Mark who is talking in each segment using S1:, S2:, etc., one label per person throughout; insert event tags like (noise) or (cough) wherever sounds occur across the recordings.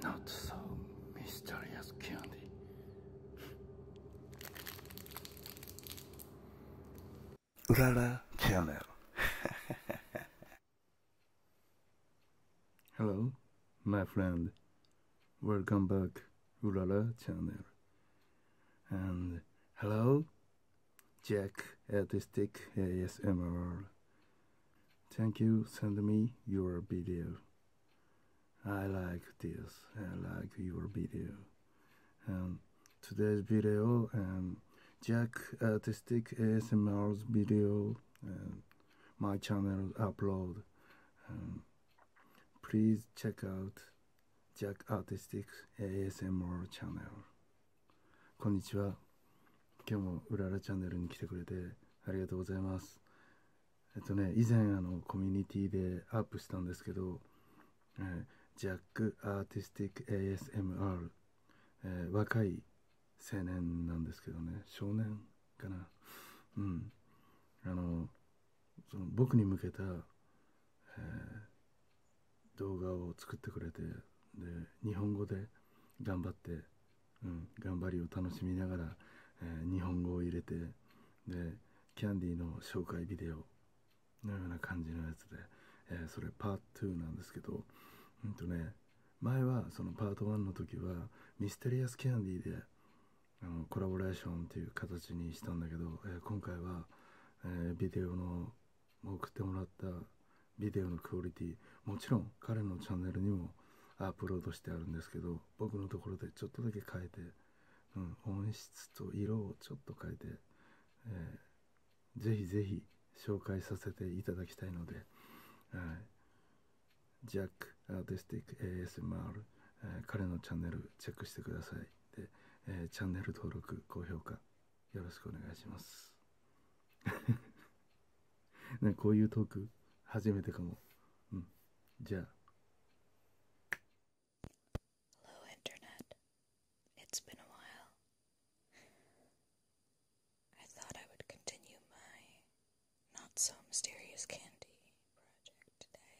S1: Not so mysterious candy. Rara Channel. Hello, my friend. Welcome back, Ulala channel. And hello, Jack Artistic ASMR. Thank you, send me your video. I like this, I like your video. And today's video, i um, Jack Artistic ASMR's video and my channel upload. Um, please check out Jack Artistic ASMR channel. こんにちは。今日もうららチャンネルに来てくれてありがとうございます。えっとね、以前あのコミュニティでアップしたんですけど、えー、ジャック・アーティスティック・ ASMR、えー、若い青年なんですけどね少年かなうんあのその僕に向けた、え動画を作ってくれてで日本語で頑張って、うん、頑張りを楽しみながら、え日本語を入れてでキャンディーの紹介ビデオのような感じのやつで、えそれパート2なんですけどうんとね前はそのパート1の時はミステリアスキャンディーであのコラボレーションという形にしたんだけど、え今回は、えビデオの送ってもらったビデオのクオリティもちろん彼のチャンネルにもアップロードしてあるんですけど僕のところでちょっとだけ変えて、うん、音質と色をちょっと変えて、えぜひぜひ紹介させていただきたいので、はい、ジャックアーティスティック ASMR、え彼のチャンネルチェックしてくださいで、えチャンネル登録高評価よろしくお願いしますね、(laughs) こういうトーク初めてかも、うん、じゃあ
S2: Hello, Internet. It's been a while. I thought I would continue my not so mysterious candy project today.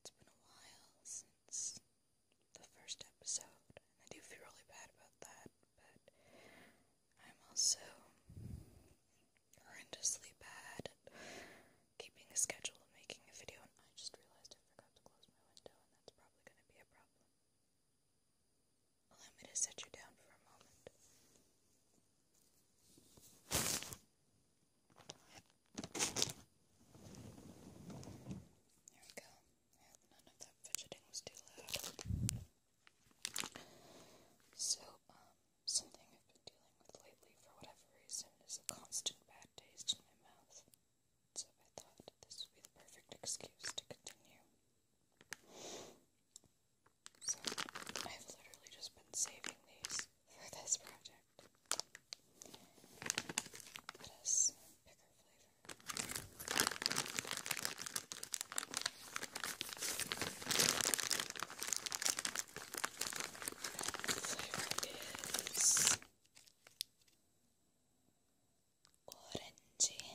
S2: It's been a while since the first episode, and I do feel really bad about that, but I'm also horrendously bad at keeping a schedule and making a video, and I just realized I forgot to close my window, and that's probably going to be a problem. Allow me to set you down for a moment. There we go. none of that fidgeting was too loud. So, um, something I've been dealing with lately for whatever reason is a constant bad taste in my mouth so I thought this would be the perfect excuse to continue. So I've literally just been saving these for this project. It has bigger flavor. The flavor is orange, orange.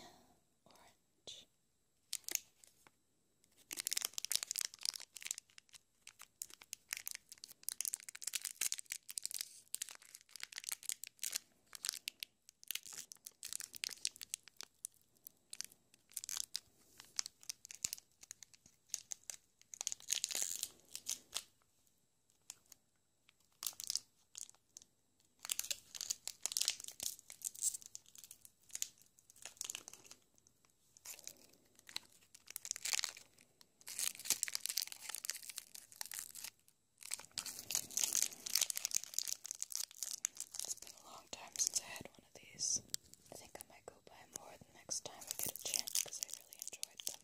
S2: It's been a long time since I had one of these. I think I might go buy more the next time I get a chance because I really enjoyed them.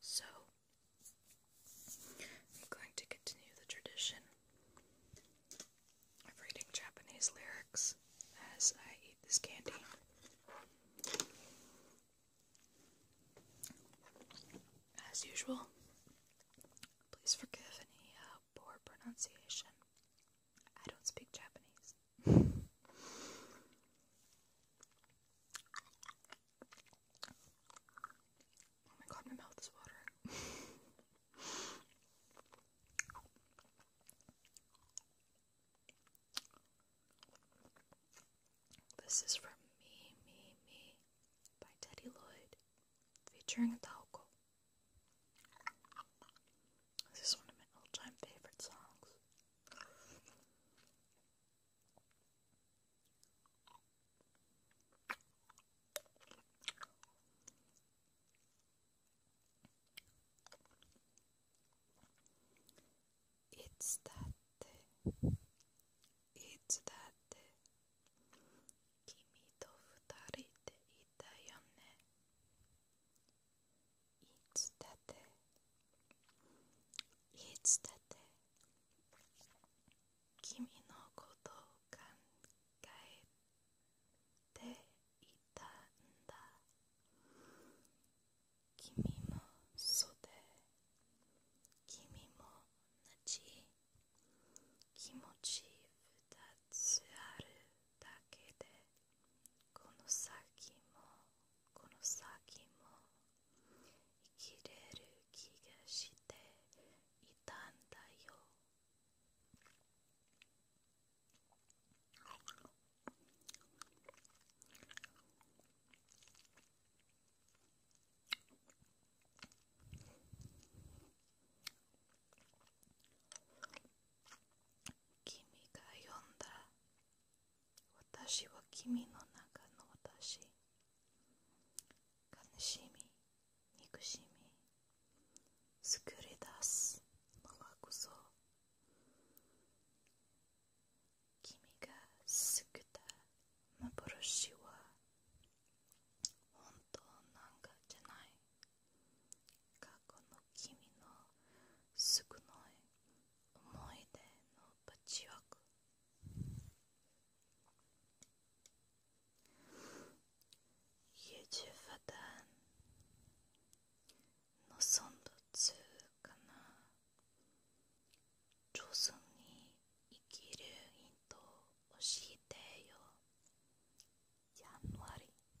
S2: So, I'm going to continue the tradition of reading Japanese lyrics as I eat this candy. As usual, please forgive any uh, poor pronunciation. I don't speak Japanese. oh my god, my mouth is watering. This is from Me, Me, Me by Teddy Lloyd featuring Taoko. This is one of my all-time favorite songs. It's that It's that day. Kimi to futarite ita いつだっていつだって君のことを考えていたんだ君もそうで君も同じ気持ち二つあるだけでこの先もこの先も生きれる気がしていたんだよ君が呼んだ私は君の中の私悲しみ憎しみ作り出すのはこそ君が救った幻は本当なんかじゃない過去の君の少ない思い出のパッチワーク20分のそんどつかな上手に生きるヒントを教えてよやんわり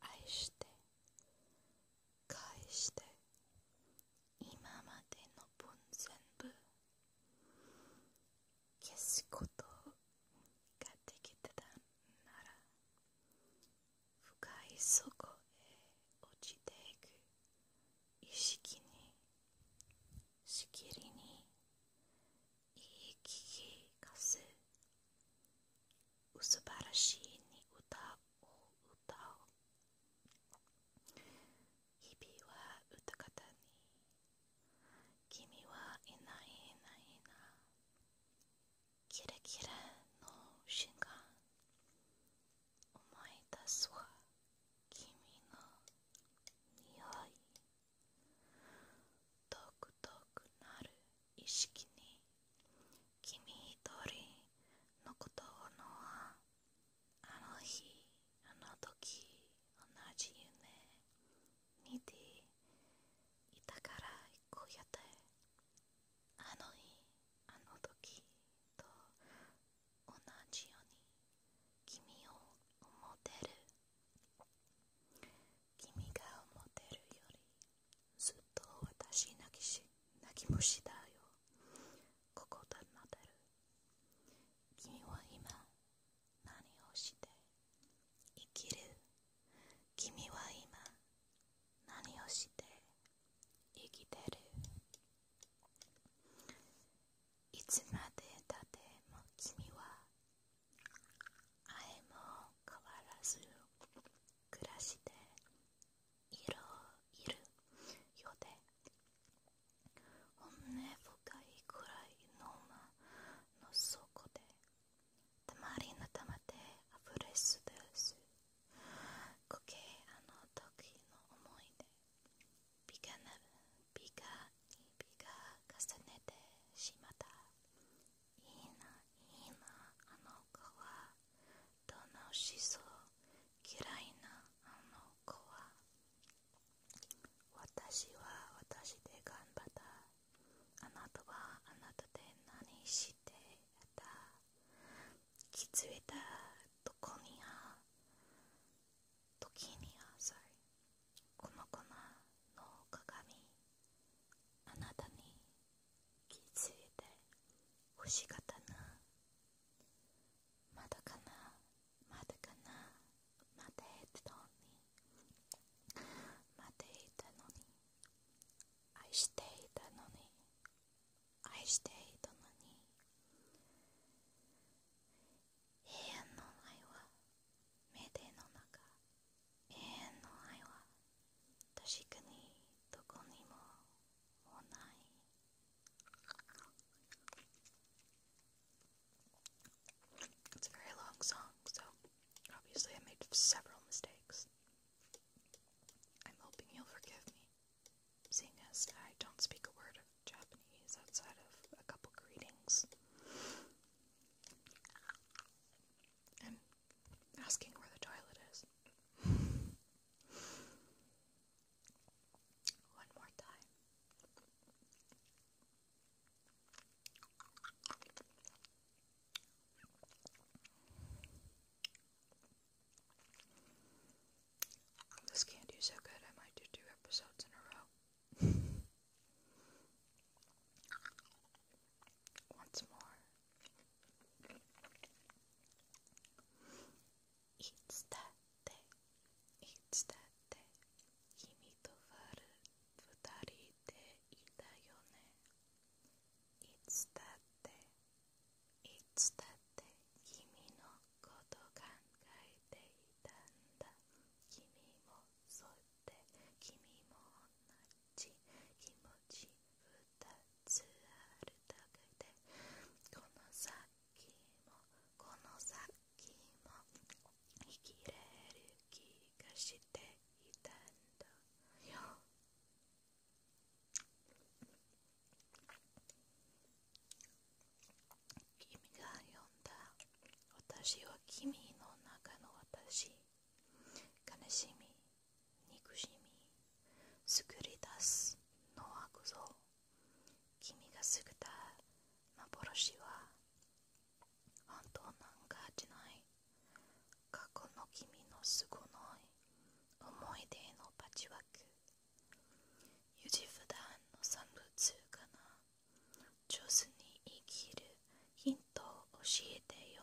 S2: 愛して返して今までの分全部消すことができてたなら深い底へ落ちていく意識にしきりにいい聞かすすばらしいに歌を歌おう日々は歌たに君はいないいないなキラキラの瞬間思い出すわ君の匂いとくとくなる意識に君一人のことのはあの日あの時同じ夢にていたからこうやってあの日あの時と同じように君を思ってる君が思ってるよりずっと私泣きし泣き虫だよここで待てる君は今何をして生きる君は今何をして生きてるいつまでたっても君はえも変わらず暮らしていろ、いるようでお本音深いくらいの間の底でたまりなたまであふれすですこけあの時の思いで。ビガなビガにビガ重ねてしまったいいないいなあの子は楽しそう嫌いなあの子は私は私で頑張ったあなたはあなたで何してた気づいたどこには時にはさこの子の鏡あなたに気づいて欲しかったなまだかなまだかな待だてたのに待て言たのに愛していたのに愛していたのに永遠の前は目での中永遠の愛は確かにどこにももうない It's a very long song, so obviously I made several mistakes. I'm hoping you'll forgive me, seeing as I don't speak a word of Japanese outside of a couple greetings asking where the toilet is. (laughs) One more time. This candy's so good, I might do two episodes in a row. (laughs) once more. It's that day. It's that day. Kimito waru futari de ita yo ne. It's that day. It's that day. Kimi no koto kankaete ita nda. Kimi mo sotte. Kimi mo onnari. ち気持ち二つあるだけでこの先もこの先も生きれる気がしていたんだよ君が呼んだ私は君の中の私悲しみ、憎しみ、作り出すのはこそ君が作った幻は本当なんかじゃない過去の君の凄ない思い出のパッチワーク優柔不断の産物かな上手に生きるヒントを教えてよ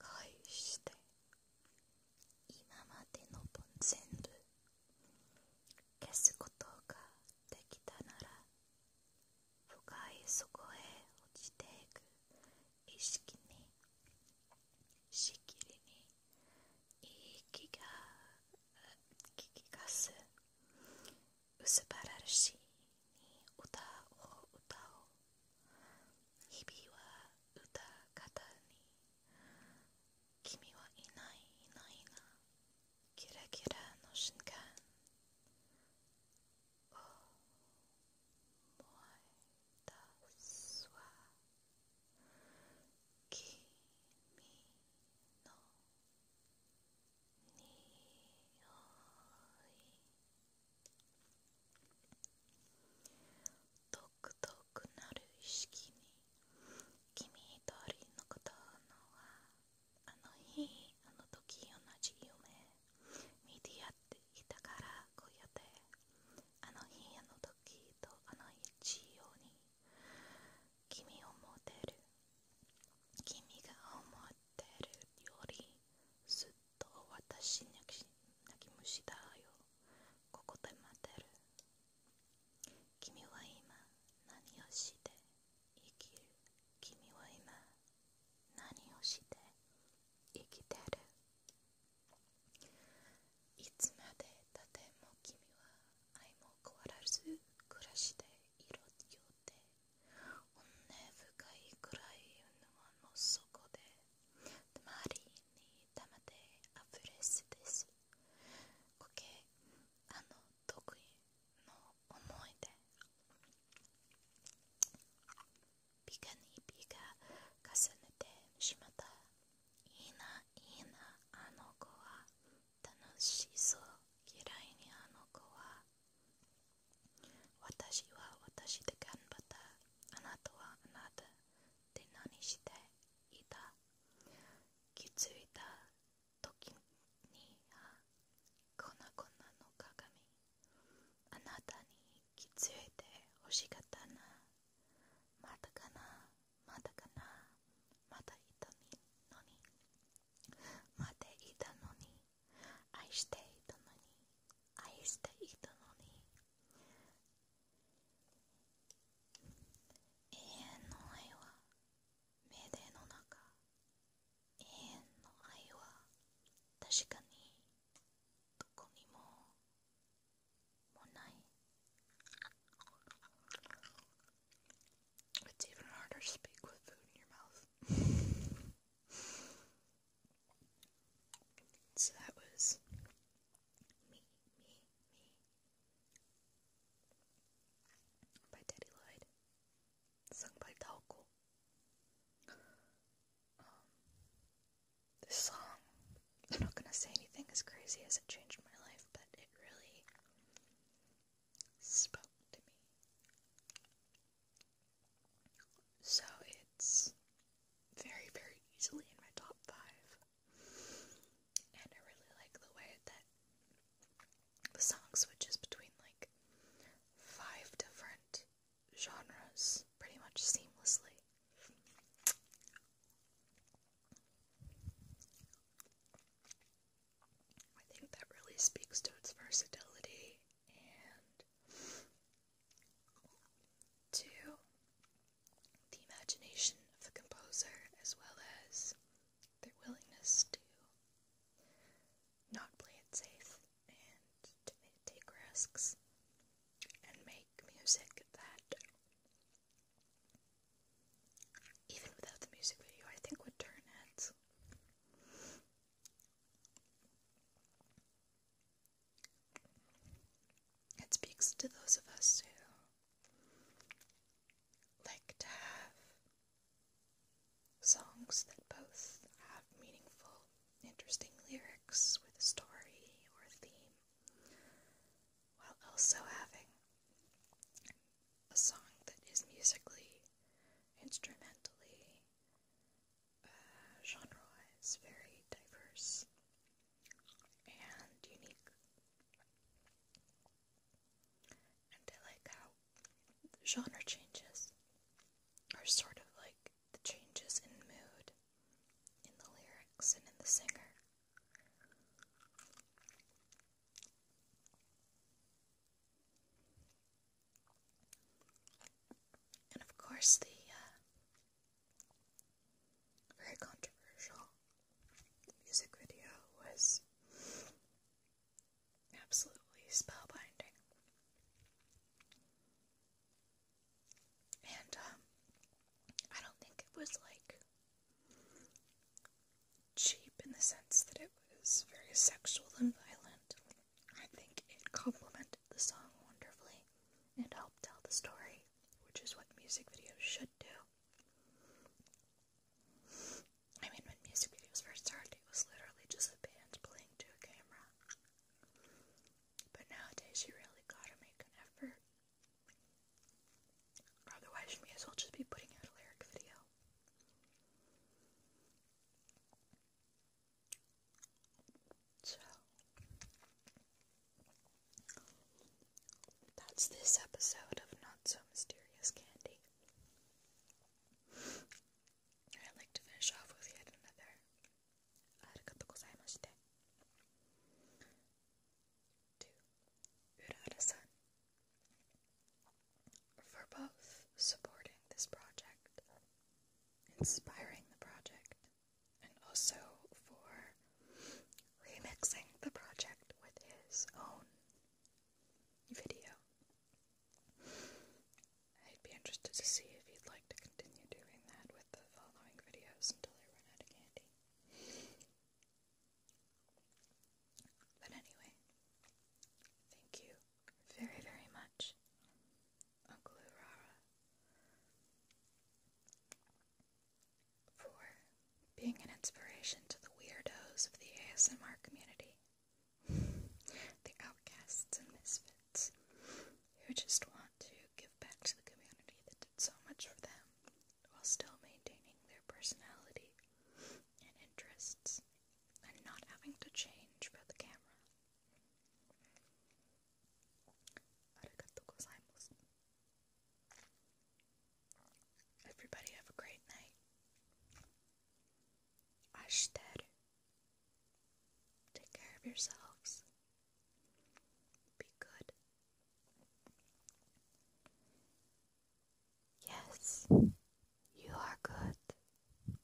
S2: 返して今までの分全部消すことができたなら深い底へ落ちていく意識にしきりにいい気が気がす薄ばらしいに歌を歌おう日々は歌方に君はいないいないなキラキラの瞬間思い出すわ君の匂い遠く遠くなる意識に君と人のことのはあの日あの時同じ夢見てやっていたからこうやってあの日あの時とあの一様に君を持てる君が思ってるよりずっと私泣泣き虫だよここで待てる君は今何をして生きる君は今何をして生きてるいつまでたっても君は愛も変わらず暮らしていろよって本音深い暗らいのあの底で周りに玉であふれすですこけあの得意の思い出ピカにピカ重ねてしまったいいないいなあの子は楽しそう嫌いにあの子は私は私で頑張ったあなたはあなたで何していた気づいた時には粉々の鏡あなたに気づいて欲しかったなまだかなまだかなまだいたのに待っていたのに愛していたのに愛していたのに永遠の愛は命令の中永遠の愛は確かにどこにももない It's even harder to speak with food in your mouth (laughs) So that was me, me, me by Teddy Lloyd, sung by Taoko. Um, this song, I'm not gonna say anything as crazy as it changed my life, but it really spoke to me. So it's very, very easily in my top five. And I really like the way that the song switches between like five different genres pretty much seamlessly. I think that really speaks to its versatility and to the imagination of the composer as well as their willingness to not play it safe and to take risks and make music that even without the music video I think would turn heads. It speaks to those of us who like to have songs that both have meaningful, interesting lyrics with a story or a theme, while also having a song that is musically, instrumentally, genre-wise very diverse and unique. And I like how genre changes are sort of like the changes in mood, in the lyrics, and in the singer and of course the uh, very controversial music video was absolutely spellbinding. And um, I don't think it was like cheap in the sense that it was very sexual and violent. I think it complemented the song wonderfully and help tell the story, which is what music videos should do. I mean, when music videos first started, it was literally just a band playing to a camera. But nowadays, you really gotta make an effort. Otherwise, you may as well just be putting out a lyric video. So that's this episode of Not So Mysterious Candy. I'd like to finish off with yet another Arigato gozaimashite to Urada-san for both supporting this project inspiring the project and also for remixing the project with his own video. I'd be interested to see if you'd like to continue doing that with the following videos until I run out of candy. But anyway, thank you very, very much Uncle Urara for being an inspiration to the weirdos of the ASMR community, (laughs) the outcasts and misfits who just want to give back to the community that did so much for them while still maintaining their personality and interests and not having to change for the camera. Everybody have a great night. Ashiteru. Take care of yourselves. Be good. Yes, you are good.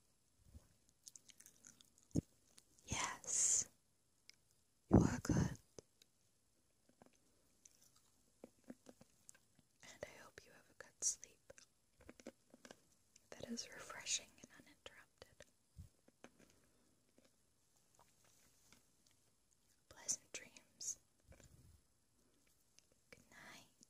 S2: Yes, you are good. And I hope you have a good sleep that is refreshing and uninterrupted. Pleasant dreams. Good night.